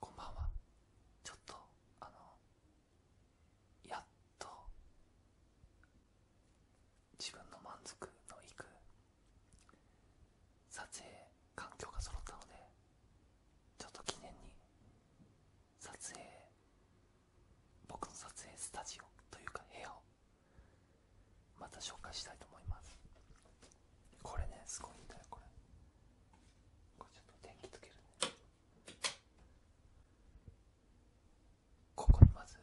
こんばんはちょっとあのやっと自分の満足のいく撮影環境が揃ったのでちょっと記念に撮影僕の撮影スタジオというか部屋をまた紹介したいと思いますこれねすごいんだよこれここにまず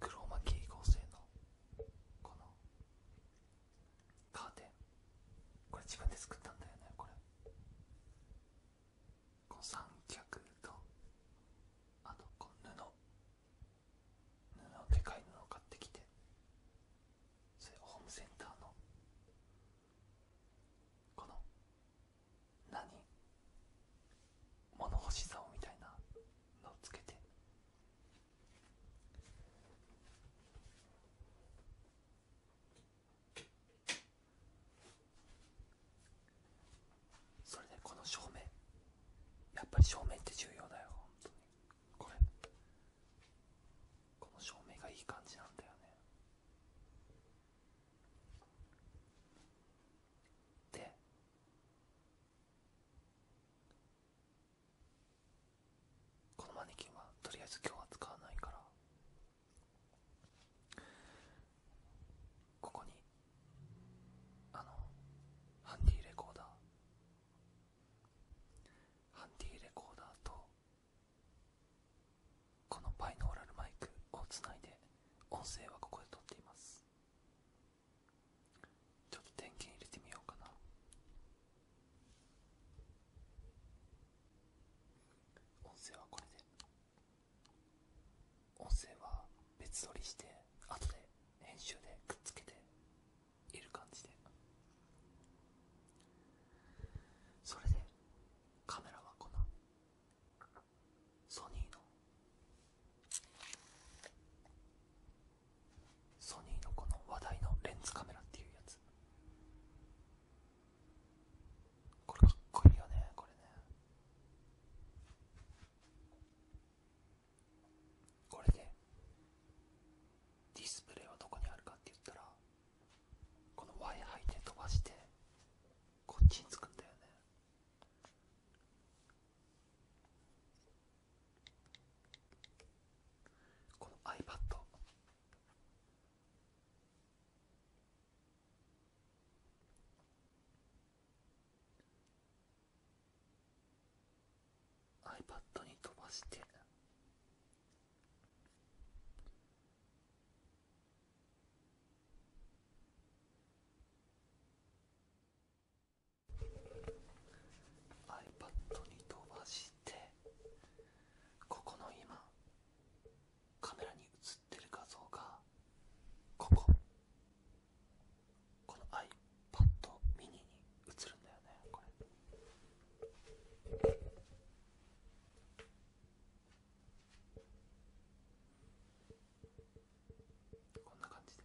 黒巻き合成のこのカーテンこれ自分で作ったんだよねこれ三脚とあとこの布でかい布を買ってきてそれホームセンターのこの何物干し竿みたいなのをつけてそれでこの照明やっぱり照明って重要だよ本当にこれこの照明がいい感じなんだよねでこのマネキンはとりあえず今日は使わないからここにあのハンディレコーダーハンディレコーダーとこのバイノーラルマイクをつないで音声はここで撮っていますちょっと電源入れてみようかな音声はこれで音声は別撮りしてあ後で編集でくっつけている感じでそれでカメラはこのソニーのソニーのこの話題のレンズカメラっていうやつこれかっこいいよねこれねこれでディスプレイはどこにあるかって言ったらこの Y 配で飛ばしてこっちにつくんだよねこの iPad iPad に飛ばして ipad に飛ばして。ここの今。カメラに映ってる画像がこここの iPad m i に映るんだよねこんな感じで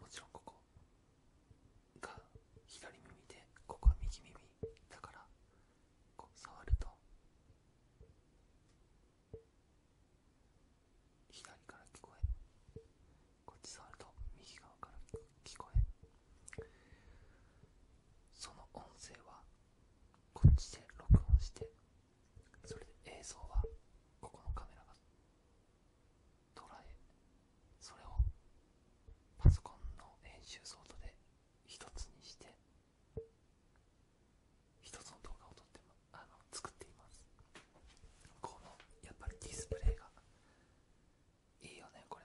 もちろんここが左耳でここは右耳だからこう触ると左から聞こえこっち触ると右側から聞こえその音声はこっちで録音してそれで映像はここのカメラが捉えそれをパソコンの編集ソートで一つにして一つの動画を撮って作っていますこのやっぱりディスプレイがいいよねこれ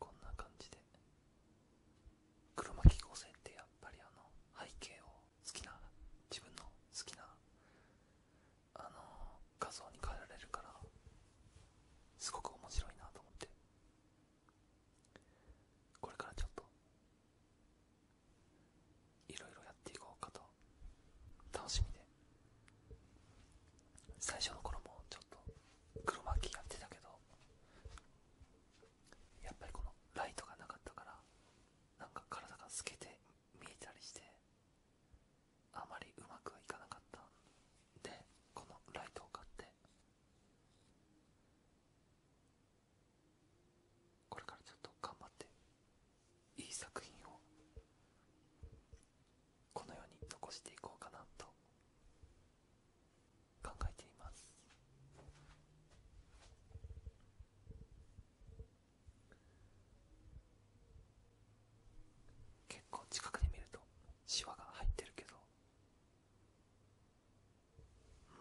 こんな感じで黒巻合成ってやっぱりあの背景を好きな自分の好きなあの画像に変えられるからすごく面白いなと思ってこれからちょっといろいろやっていこうかと楽しみで最初の頃もちょっと黒巻きやってたけどやっぱりこのライトがなかったからなんか体が透けて見えたりしてあまりうまくはいかなかったでこのライトを買ってこれからちょっと頑張っていい作品をこの世に残していこうかなと考えています結構近くで見るとシワが入ってるけど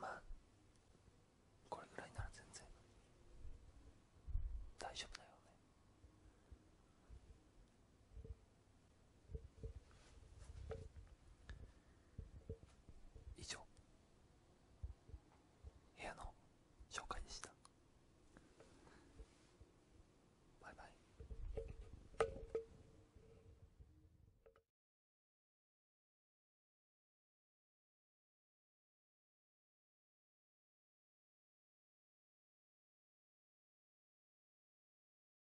まあこれぐらいなら全然大丈夫だよね以上部屋の紹介でしたバイバイ